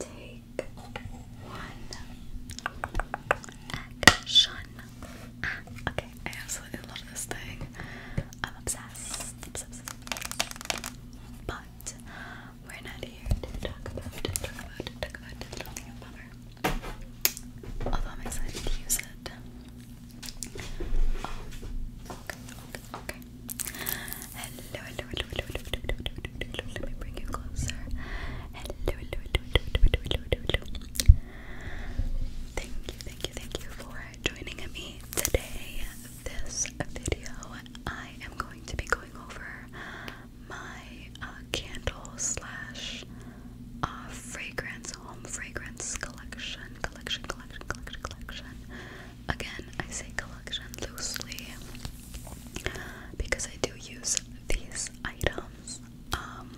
Take one action. Ah, okay, I absolutely love this thing. I'm obsessed. But we're not here to talk about to Although I'm excited to use it. Oh, okay. Hello, hello, hello, hello, hello, hello, hello, hello, hello. Let me bring you closer. Hello, hello, hello, hello, hello, hello, hello. Thank you, thank you, thank you for joining me today. This video, I am going to be going over my uh, candle slash uh, fragrance, home fragrance collection, collection, collection, collection, collection. Again, I say collection loosely because I do use these items. Um,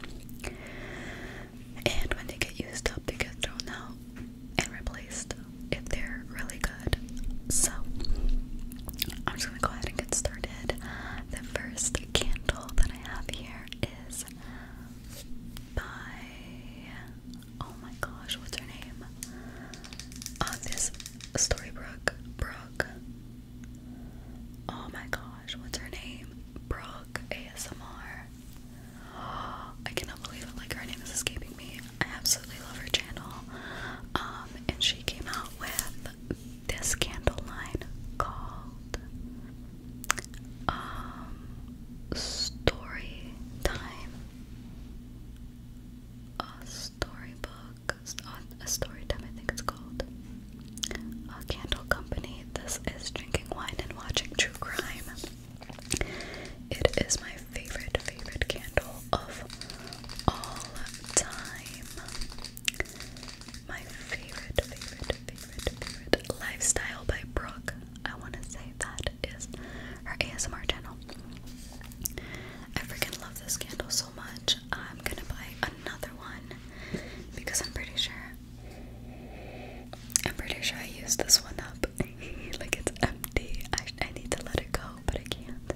and when they get used up, they get thrown out and replaced if they're really good. So, I'm just gonna go ahead and get started. The first candle that I have here is by oh my gosh, what's her name? Uh, this Story Brook, Brook. Oh my gosh, what's her name? Brook ASMR. Oh, I cannot believe it. Like her name is escaping me. I absolutely love her channel. Um, and she came out with this candle line called um Story Time a storybook, a story time I think it's called. A candle company. This is drinking wine and watching true crime. It is my favorite, favorite candle of all time. My favorite, favorite, favorite, favorite. Lifestyle by Brooke. I want to say that is her ASMR channel. I freaking love this candle so much. I'm gonna buy another one because I'm pretty sure I'm pretty sure I used this one up. like it's empty. I, I need to let it go, but I can't.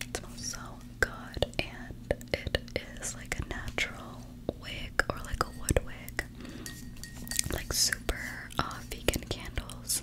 It smells so good and it is like a natural wig or like a wood wig. Like super uh, vegan candles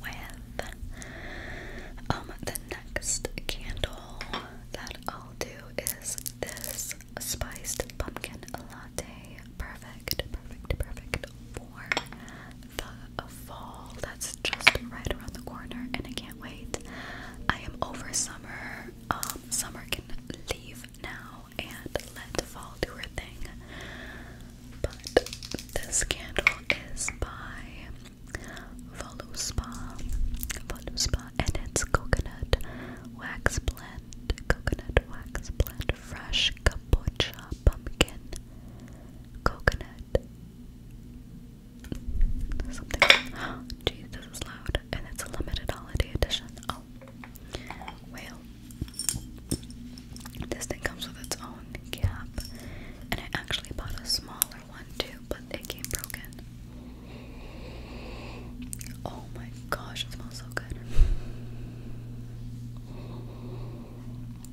with um the next candle that I'll do is this spiced pumpkin latte. Perfect, perfect, perfect for the fall. That's just right around the corner and I can't wait. I am over summer. Um, summer can leave now and let fall do her thing. But this candle is by Volu Spa, Volu Spa, and its coconut wax blend, coconut wax blend, fresh kombucha, pumpkin, coconut, something. Oh, this is loud, and it's a limited holiday edition. Oh, well, this thing comes with its own cap. And I actually bought a smaller one too, but it came broken. Oh my gosh, it smells so good.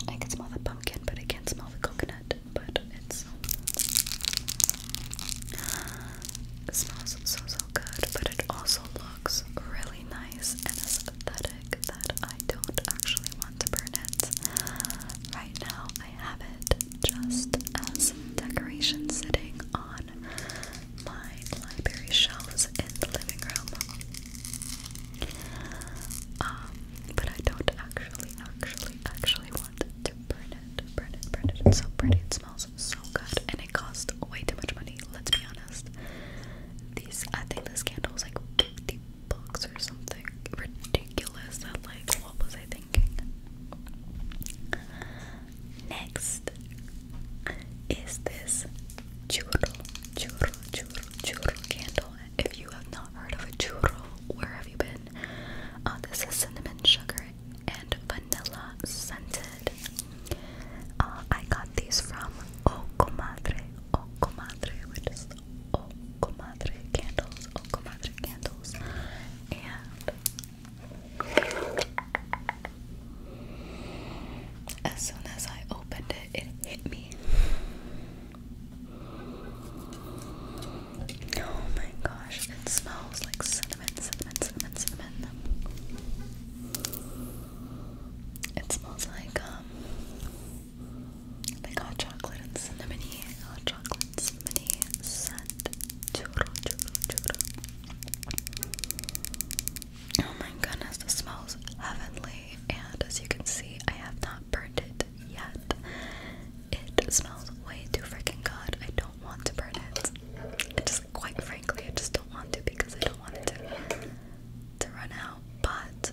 I can smell the pumpkin, but I can't smell the coconut. But it smells so so good, but it also looks really nice and aesthetic that I don't actually want to burn it. Right now, I have it just as decoration sitting on my library shelves in the living room. Um, but I don't actually, actually, actually want to burn it, burn it, burn it. It's so pretty, it smells so good, and it cost way too much money, let's be honest. These, I think this candle was like 50 bucks or something ridiculous that like what was I thinking? Next is this churro, churro, churro, churro candle. If you have not heard of a churro, where have you been? Uh, this is cinnamon sugar and vanilla scented. Uh, I got these from O Comadre, O Comadre, which is Oh Comadre candles, Oh Comadre candles, and as soon as I opened it, it hit me. Oh my gosh, it smells like cinnamon, cinnamon, cinnamon, cinnamon. It smells like um, like hot chocolate and cinnamony, hot chocolate and cinnamony scent. Churro, churro, churro. Oh my goodness, this smells heavenly, and as you can see, I have not burned it yet. It smells way too freaking good. I don't want to burn it. I just, quite frankly, I just don't want to because I don't want it to to run out, but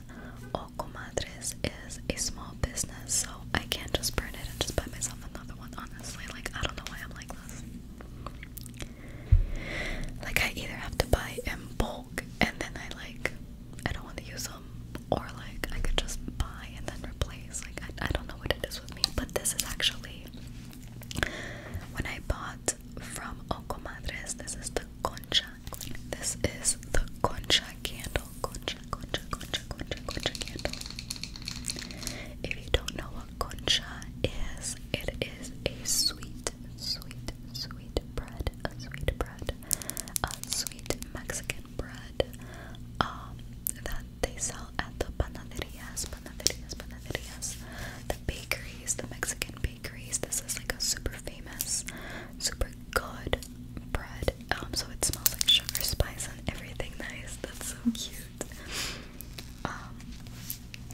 O Comadres is a small business, so I can't just burn it and just buy myself another one, honestly. Like, I don't know why I'm like this. Like, I either have to buy in bulk and then I like, I don't want to use them, or like, I could just buy and then replace. Like, I, I don't know what it is with me, but this is actually when I bought from O Comadres, this is the concha this is the Concha candle. Concha, Concha, Concha, Concha, Concha candle. If you don't know what Concha is, it is a sweet, sweet, sweet bread, a sweet bread, a sweet Mexican bread um, that they sell at the panaderias, panaderias, panaderias, the bakeries, the Mexican this is like a super famous, super good bread. Um, so it smells like sugar, spice, and everything nice. That's so cute. Um,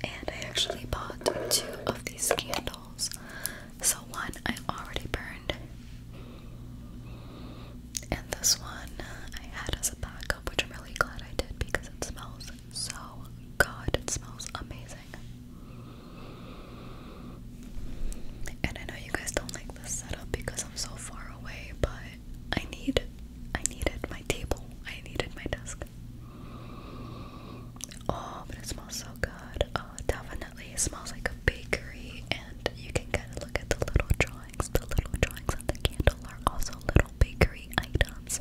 and I actually bought two of these candles. So one I already burned, and this one I had as a backup, which I'm really glad I did because it smells so good. It smells amazing. And I know you guys don't like this setup because I'm so far away, but I need I needed my table. I needed my desk. Oh, but it smells so good. Oh, definitely it smells like a bakery and you can kind of look at the little drawings. The little drawings of the candle are also little bakery items.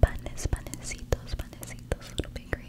Panes, panecitos, panecitos, little bakery.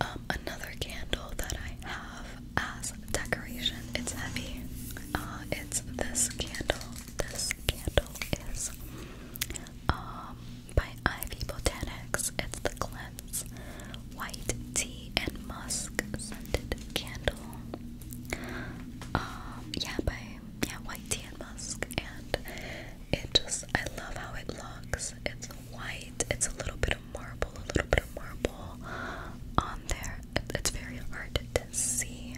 Um, another candle that I have as decoration. It's heavy. Uh, it's this candle. This candle is um, by Ivy Botanics. It's the Cleanse White Tea and Musk Scented Candle. Um, yeah, by yeah, White Tea and Musk, and it just I love how it looks. It's white. It's a little bit of marble, a little bit of marble on there. It's very hard to see.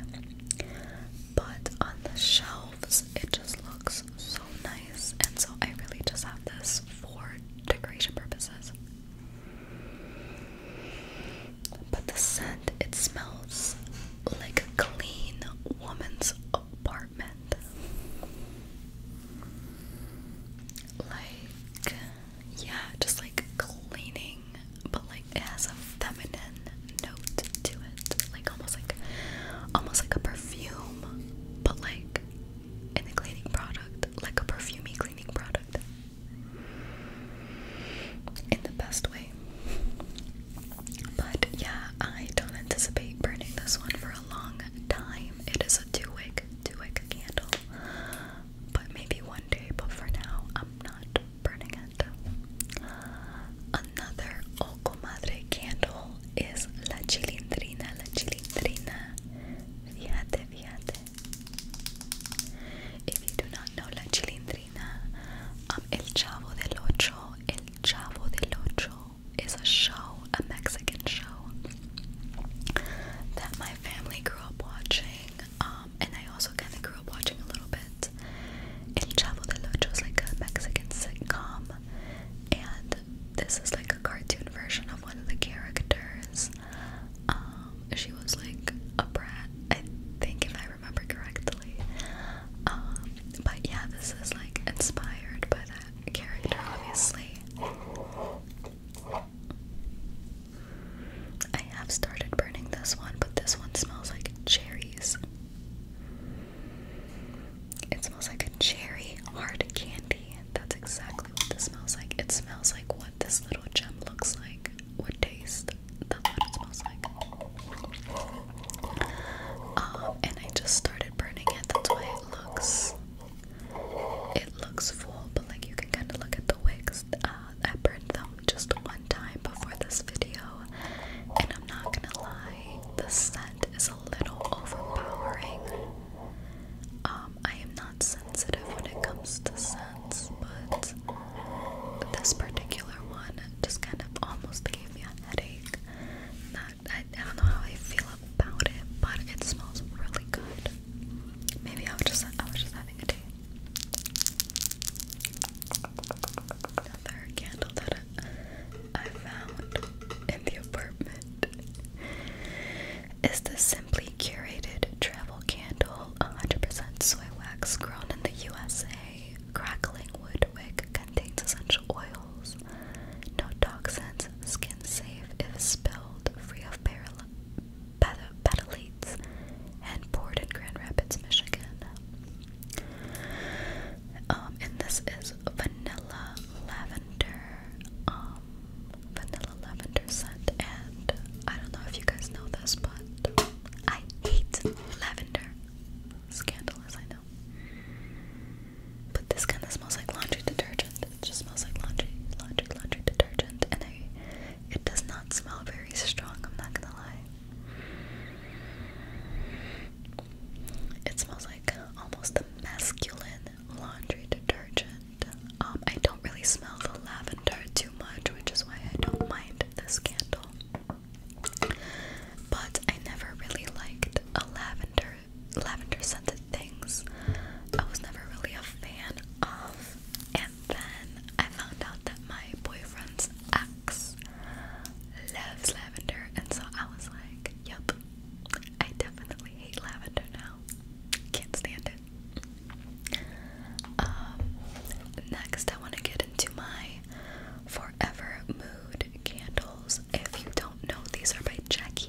But on the shelves, it just looks so nice. And so I really just have this for decoration purposes. But the scent, it smells like a clean woman's apartment like yeah, just like cleaning, but like it has a feminine note to it, like almost like almost like a perfume, but like in a cleaning product, like a perfumey cleaning product, in the best way. But yeah, I don't anticipate burning this one for long time. It is a two-wick, two-wick candle. But maybe one day, but for now, I'm not burning it. Another O Comadre candle is La Chilindrina, La Chilindrina. Fíjate, fíjate. If you La Chilindrina, El Chavo del Ocho, El Chavo del Ocho is a show, a Mexican show that my family grew up watching, um, and I also kind of grew up watching a little bit. El Chavo del Ocho is like a Mexican sitcom, and this is like a cartoon version of one of the characters. Um, she was like a brat, I think, if I remember correctly. Um, but yeah, this is like inspired by that character, obviously. I have started burning this one, but this one smells like cherries. It smells like a cherry hard candy. That's exactly what this smells like. It smells like what this little gem looks like, would taste. That's what it smells like. Um, and I just started burning it. That's why it looks it looks full, but like you can kind of look at the wigs. Uh, I burned them just one time before this video, and I'm not gonna lie, the scent is a little overpowering. Um, I am not sensitive when it comes to scents, but this particular one just kind of almost gave me a headache. I, don't know how I feel about it, but it smells really good. Maybe I was just I was just having a day. Another candle that I, found in the apartment is the Simply Curated Travel Candle, 100% soy wax grown in the USA. Crackling wood wick contains essential oils, no toxins, skin safe if spilled, free of petalates, and poured in Grand Rapids, Michigan. Um, and this is vanilla lavender, um, vanilla lavender scent, and I don't know if you guys know this, but I hate lavender. Scandalous, I know. But this kind of smells like laundry detergent. It just smells like laundry, laundry, laundry detergent, and I, it does not smell very strong. I'm not gonna lie. It smells like almost a masculine laundry detergent. Um, I don't really smell the lavender too much, which is why I don't mind this candle. But I never really liked a lavender lavender scented things I was never really a fan of. And then I found out that my boyfriend's ex loves lavender, and so I was like, yep, I definitely hate lavender now. Can't stand it. Um, next, I want to get into my Forever Mood candles. If you don't know, these are by Jackie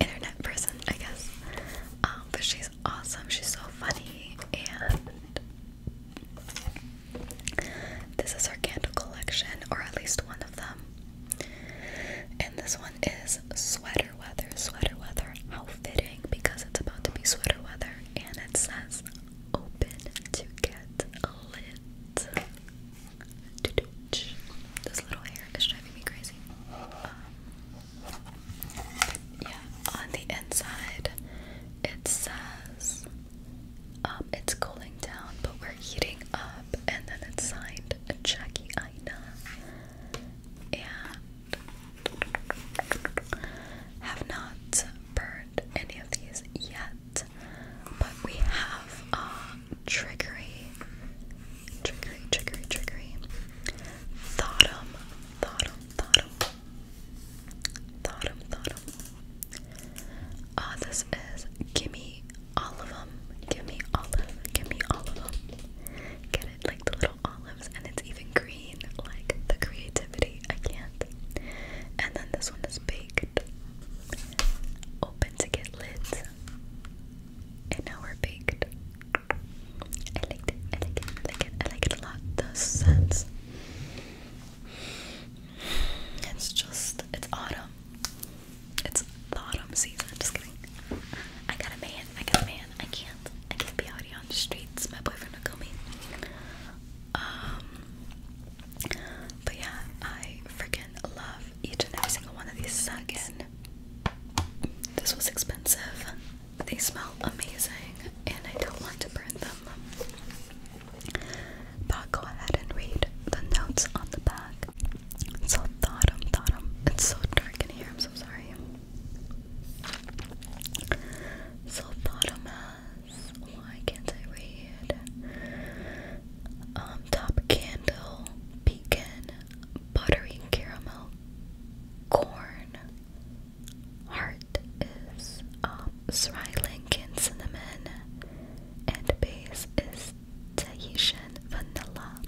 internet person, I guess. Um, but she's awesome. She's so funny, and this is our candle collection, or at least one of them. And this one is sweater weather. Sweater weather. How fitting because it's about to be sweater weather, and it says open to get a lit. This little hair is driving me crazy. Um, yeah, on the inside it says um, it's cooling down, but we're heating up, and then it's signed Jackie Ida. And have not burned any of these yet, but we have uh, triggery Trickery, trickery, trickery. Thottum, thottum, thottum. Thottum, thottum. Ah, uh, this is gimme all of them. Gimme olive, gimme all of them. Get it? Like the little olives, and it's even green. Like the creativity, I can't. And then this one is baked. Open to get lids. And now we're baked. I like it, I like it, I like it, I like it a lot. The scents. It's just, it's autumn. It's the autumn season. Just kidding. I got a man. I got a man. I can't. I can't be out here on the streets. My boyfriend will kill me. Um. But yeah, I freaking love each and every single one of these seconds. This was expensive. They smell amazing, and I don't want to burn them. But go ahead and read the notes on the back. So bottom, bottom. It's so dark in here. I'm so sorry. So bottom has. Why can't I read? Um, top candle, beacon, buttery caramel, corn. Heart is um, Sri Lankan cinnamon, and base is Tahitian vanilla.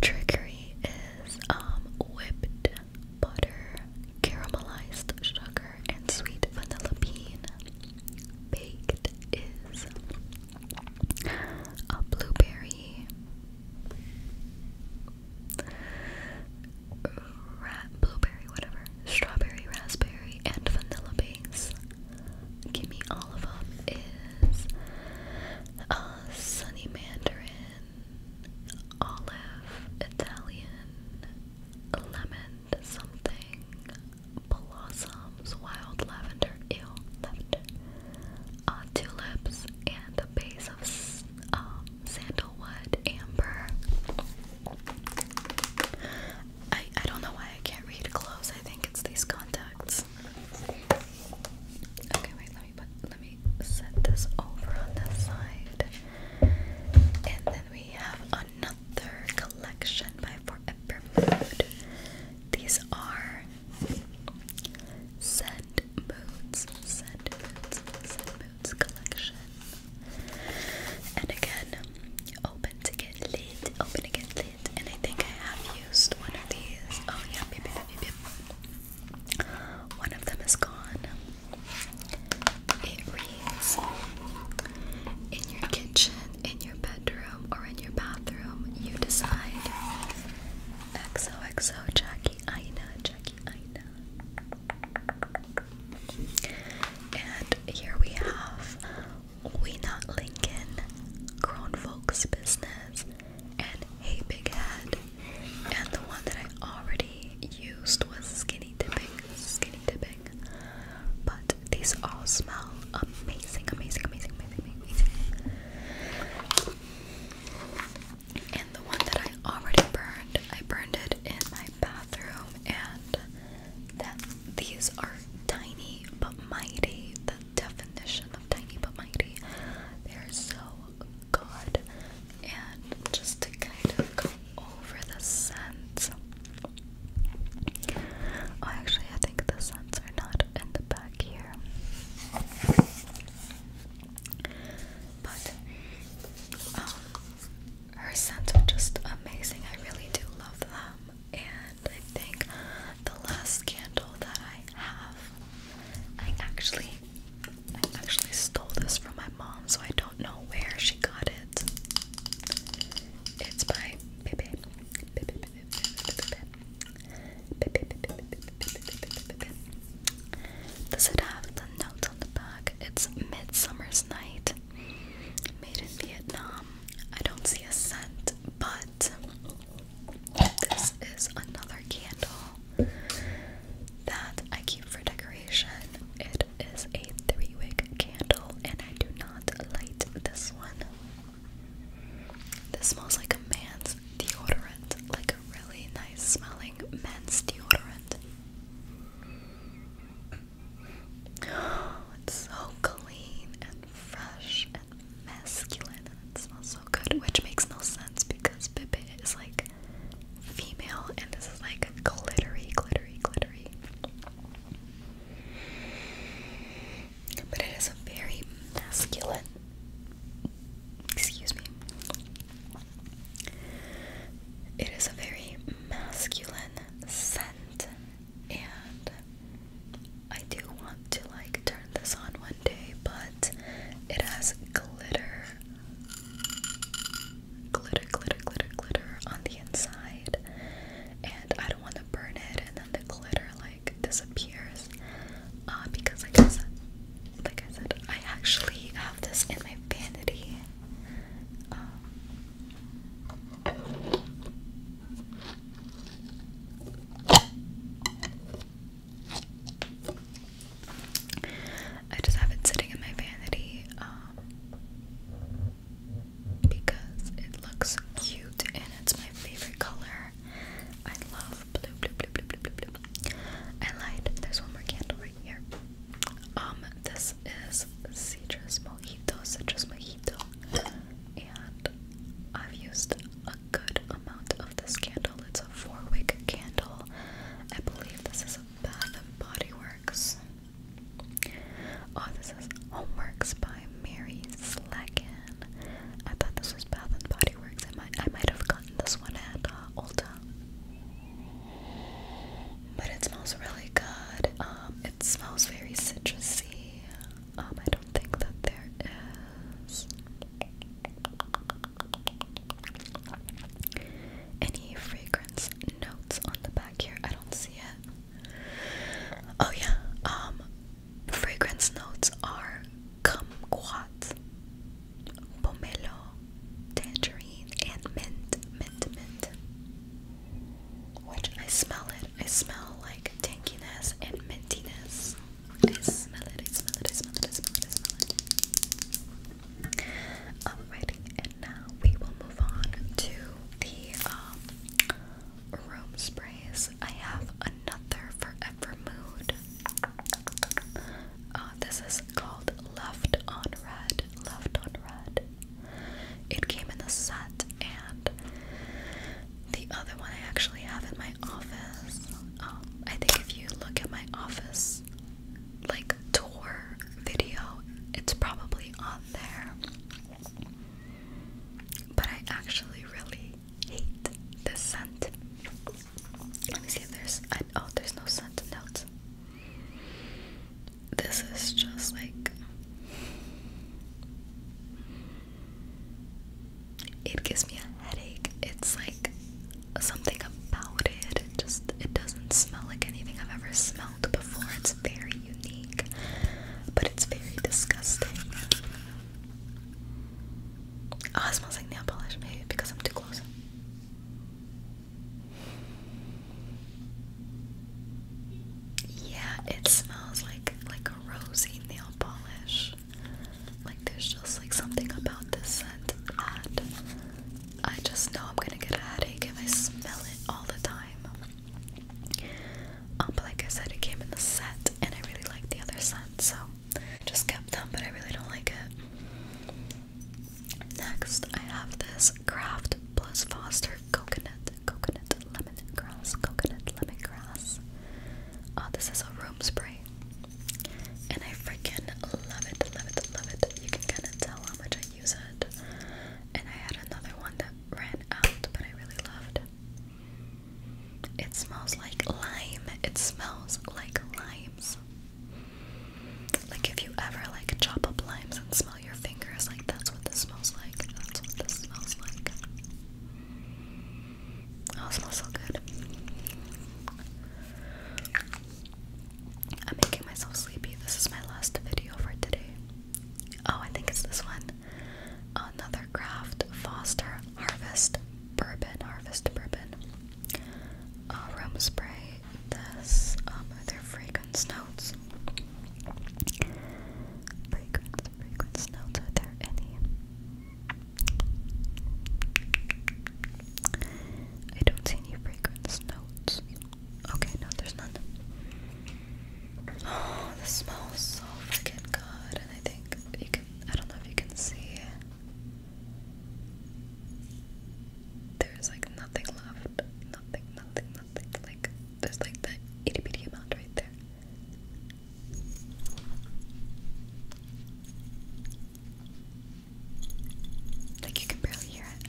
Trickery is um, whipped butter, caramelized sugar, and sweet vanilla bean. Baked is a blueberry, blueberry, whatever, strawberry, raspberry, and vanilla base. Gimme all of them is uh, sunny mandarin, olive, Italian, lemon something, blossoms, wild lavender, ew, lavender, uh, tulips, and a base of um, sandalwood amber. I, I don't know why I can't read close. I think it's these contacts. Okay, wait. Let me let me set this over on this side, and then we have another collection by Forever Food. These are Scent Moods, Scent Moods, Scent Moods collection. And again, open to get lit, open to get lit. And I think I have used one of these. Oh yeah, beep, beep, beep, beep. One of them is gone. It reads, in your kitchen, in your in your bedroom or in your bathroom, you decide. XOXO Jackie Ina, Jackie Ina. And here we have We Not Lincoln, Grown Folks Business, and Hey Big Head. And the one that I already used was Skinny Dipping, Skinny Dipping. But these all smell amazing amazing, amazing, amazing, amazing, amazing. And the one that I already burned, I burned it in my bathroom, and that these are tiny but mighty. The definition of tiny but mighty. They're so good. And just to kind of go over the scents. Oh, actually, I think the scents are not in the back here. But um, her scents are just amazing. I really do love them. And I think the last candle that I have, I actually, I actually stole this from my mom, so I don't know where she got it. It's by Bebe. Bebe, Bebe, Bebe, Bebe, Bebe. Does it have the notes on the back? It's Midsummer's Night, made in Vietnam. I don't see a scent, but this is another candle that I keep for decoration. It is a three wick candle, and I do not light this one. This smells like a man's deodorant, like a really nice smelling men's deodorant. it's so clean and fresh and masculine, and it smells so good, which makes no sense because Bibit is like female, and this is like glittery, glittery, glittery. But it is a very masculine. Excuse me. It is a very masculine scent, and I do want to like turn this on one day, but it has glitter, glitter, glitter, glitter, glitter on the inside, and I don't want to burn it, and then the glitter like like disappears uh, because like I said I actually have this in my vanity um, I just have it sitting in my vanity um, because it looks cute and it's my favorite color. I love blue, blue, blue, blue, blue, blue, blue. I lied. There's one more candle right here. Um, this is citrus mojito, citrus mojito, and I've used a good amount of this candle. It's a four-wick candle. I believe this is a Bath and Body Works. Oh, this is Homeworks by Mary Slacken. I thought this was Bath and Body Works. I might I might have gotten this one at uh, Ulta. But it smells really good. Um, it smells very citrusy. Um, I don't think that there is any fragrance notes on the back here. I don't see it. Oh yeah, um fragrance notes are kumquat, pomelo, tangerine, and mint, mint, mint. Which I smell it. I smell like tankiness and mintiness. I smell it, I smell it, I smell it, I smell it, I smell it. Alrighty, and now we will move on to the um room sprays. I have another Forever Mood. Ah, this is called Left on Red. Left on Red. It came in the set, and the other one I actually have in my office. Um, I think if you look at my office like tour video, it's probably on there. But I actually really hate the scent. Let me see if there's. oh, there's no scent notes. This is just like. It gives me a headache. It's like something about it. It just. It doesn't smell like anything I've ever smelled before. It's very unique, but it's very disgusting. Oh, it smells like nail polish, maybe because I'm too close. Yeah, it smells like like a rosy nail polish. Like there's just like something about this scent that I just know I'm gonna get headache if I smell it all the time. Um, but like I said, it came in the set, and I really like the other set, so I just kept them, but I really don't like it. Next, I have this Craft Plus Foster Coconut, Coconut Lemon Grass Coconut Lemon Grass. Uh, this is a room spray, and I freaking love it, love it, love it. You can kind of tell how much I use it. And I had another one that ran out, but I really loved. It smells like lime. It smells like limes. Like if you ever like chop up limes and smell your fingers, like that's what this smells like. That's what this smells like. Oh, smells so good. I'm making myself sleepy. This is my last video for today. Oh, I think it's this one. Another craft, Foster Harvest Bourbon, Harvest Bourbon. Uh, room spray, this, um, their fragrance notes. Fragrance, fragrance notes, are there any? I don't see any fragrance notes. Okay, no, there's none. Oh, this smells so freaking good, and I think you can. I don't know if you can see. There's like nothing left. Nothing, nothing, nothing. Like, there's like that itty bitty amount right there. Like, you can barely hear it.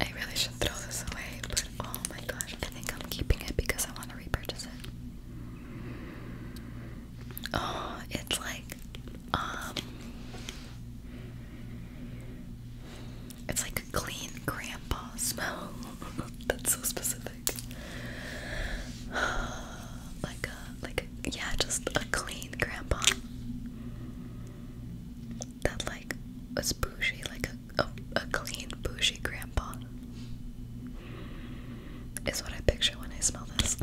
I really should throw this away, but oh my gosh, I think I'm keeping it because I want to repurchase it. Oh, it's like, um, it's like a clean grandpa smell. That's so specific. like a, like a, yeah, just a clean grandpa that like was bougie, like a, a, clean bougie grandpa is what I picture when I smell this.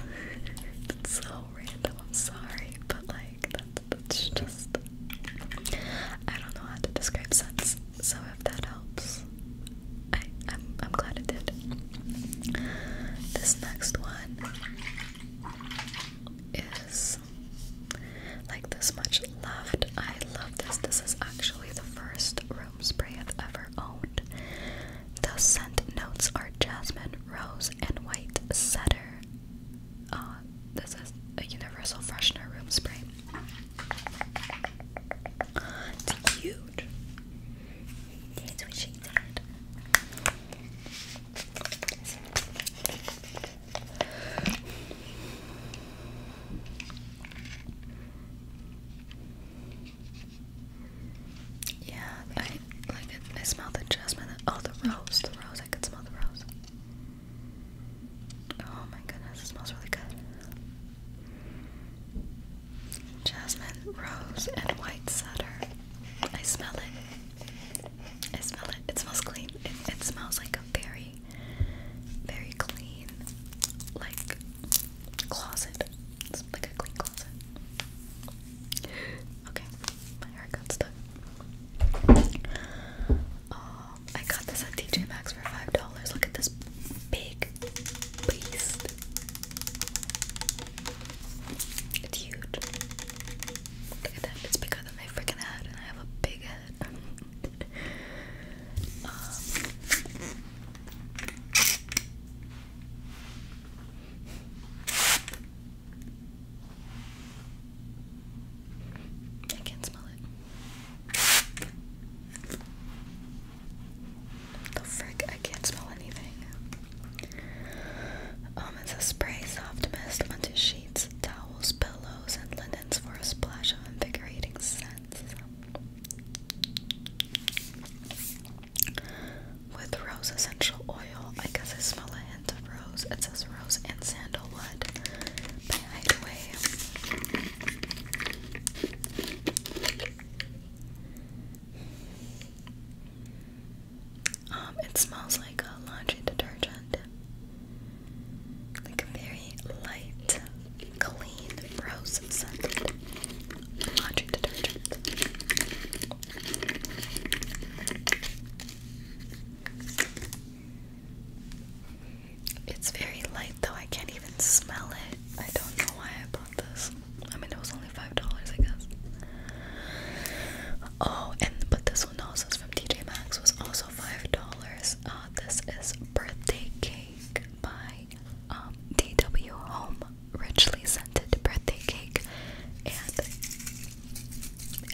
That's so random, I'm sorry, but like that's just I don't know how to describe scents, so if that helps, I I'm I'm glad it did. This next one like this much loved. I love this. This is actually the first room spray I've ever owned. The scent notes are jasmine, rose, and white cedar. Uh, this is a universal freshener room spray. It's huge. That's what she did. Yeah, I like I smell the jasmine. Oh, the rose, the rose. I could smell the rose. Oh my goodness, it smells really good. Jasmine, rose, and white cedar. I smell it. I smell it. It smells clean. It, smells like a very, very clean, like closet. It's like a clean closet. Okay, my hair got stuck. Um, I got this at TJ Maxx for five dollars. Look at this big beast. It's huge. Look at that, it's bigger than my freaking head, and I have a big head. Um, I can't smell it. The frick, I can't smell anything. Um, it's a spray soft mist onto sheets, towels, pillows, and linens for a splash of invigorating scent. With rose essential oil, I guess I smell a hint of rose. It says rose and sandalwood by Hideaway. Um, it smells like a uh, laundry detergent. Like a very light, clean, rose scented laundry detergent. It's very light though, I can't even smell it. I don't know why I bought this. I mean, it was five dollars, I guess. Oh, and but this one also from TJ Maxx was also five dollars. Uh, this is birthday cake by um, DW Home, richly scented birthday cake, and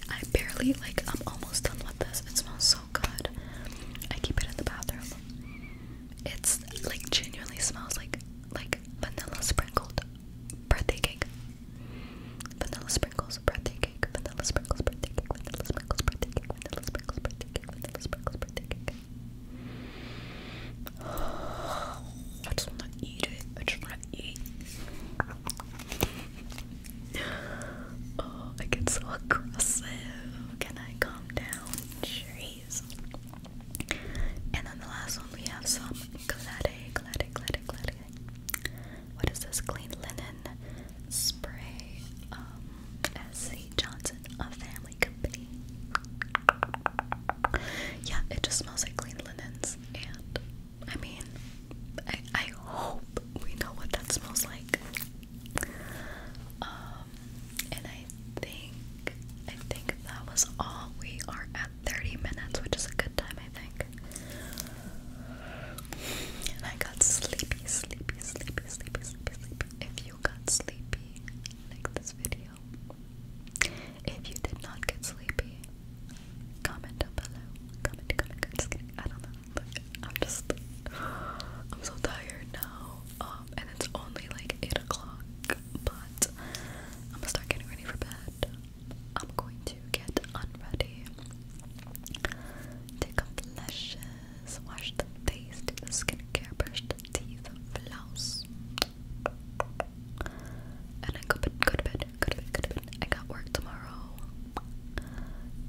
I barely like. I'm almost done with this. It smells so good. I keep it in the bathroom. It's like genuinely smells like like vanilla sprinkled birthday cake. Vanilla sprinkles birthday cake. Vanilla sprinkles birthday cake. Vanilla sprinkles birthday cake. Vanilla sprinkles birthday cake. Vanilla sprinkles birthday cake. I just wanna eat it. I just wanna eat. Oh, I get so aggressive. Can I calm down? Jeez. And then the last one we have some glade, glade, glade, glad, glad. What is this clean linen spray? Um, S.C. Johnson, a family company. Yeah, it just smells like clean linens, and I mean, I, I hope we know what that smells like. Um, and I think, I think that was all. We are at 30 minutes, which is a good time, I think. And I got sleepy, sleepy, sleepy, sleepy, sleepy, sleepy. If you got sleepy, like this video. If you did not get sleepy, comment down below. Comment, comment, comment. I don't know. I'm just. I'm so tired now. Um, and it's only like 8 o'clock, but I'm gonna start getting ready for bed. I'm going to get unready, take off the lashes, wash the face, do the skincare, brush the teeth, blouse, and then go to go to bed, go to bed, go to bed. I got work tomorrow,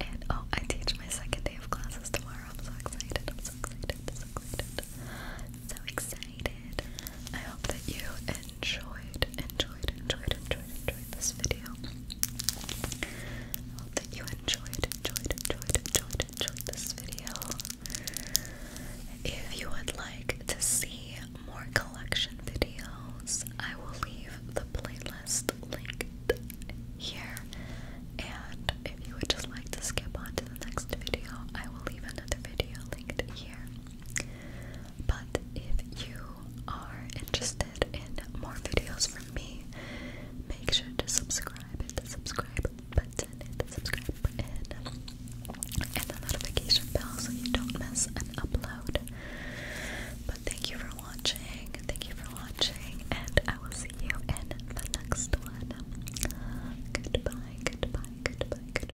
and oh, I teach my second day of classes tomorrow. I'm so excited! I'm so excited! So excited! So excited! I hope that you enjoyed, enjoyed, enjoyed, enjoyed, enjoyed this video. hope that you enjoyed, enjoyed, enjoyed, enjoyed, enjoyed this video. If you would like to see more collection videos, I will leave the playlist link here. And if you would just like to skip on to the next video, I will leave another video linked here. But if you are interested in more videos from me, make sure to subscribe, the subscribe button, the subscribe button, and the notification bell so you don't miss an upload. But thank you for watching, thank you for watching, and I will see you in the next one. Goodbye, goodbye, goodbye, goodbye.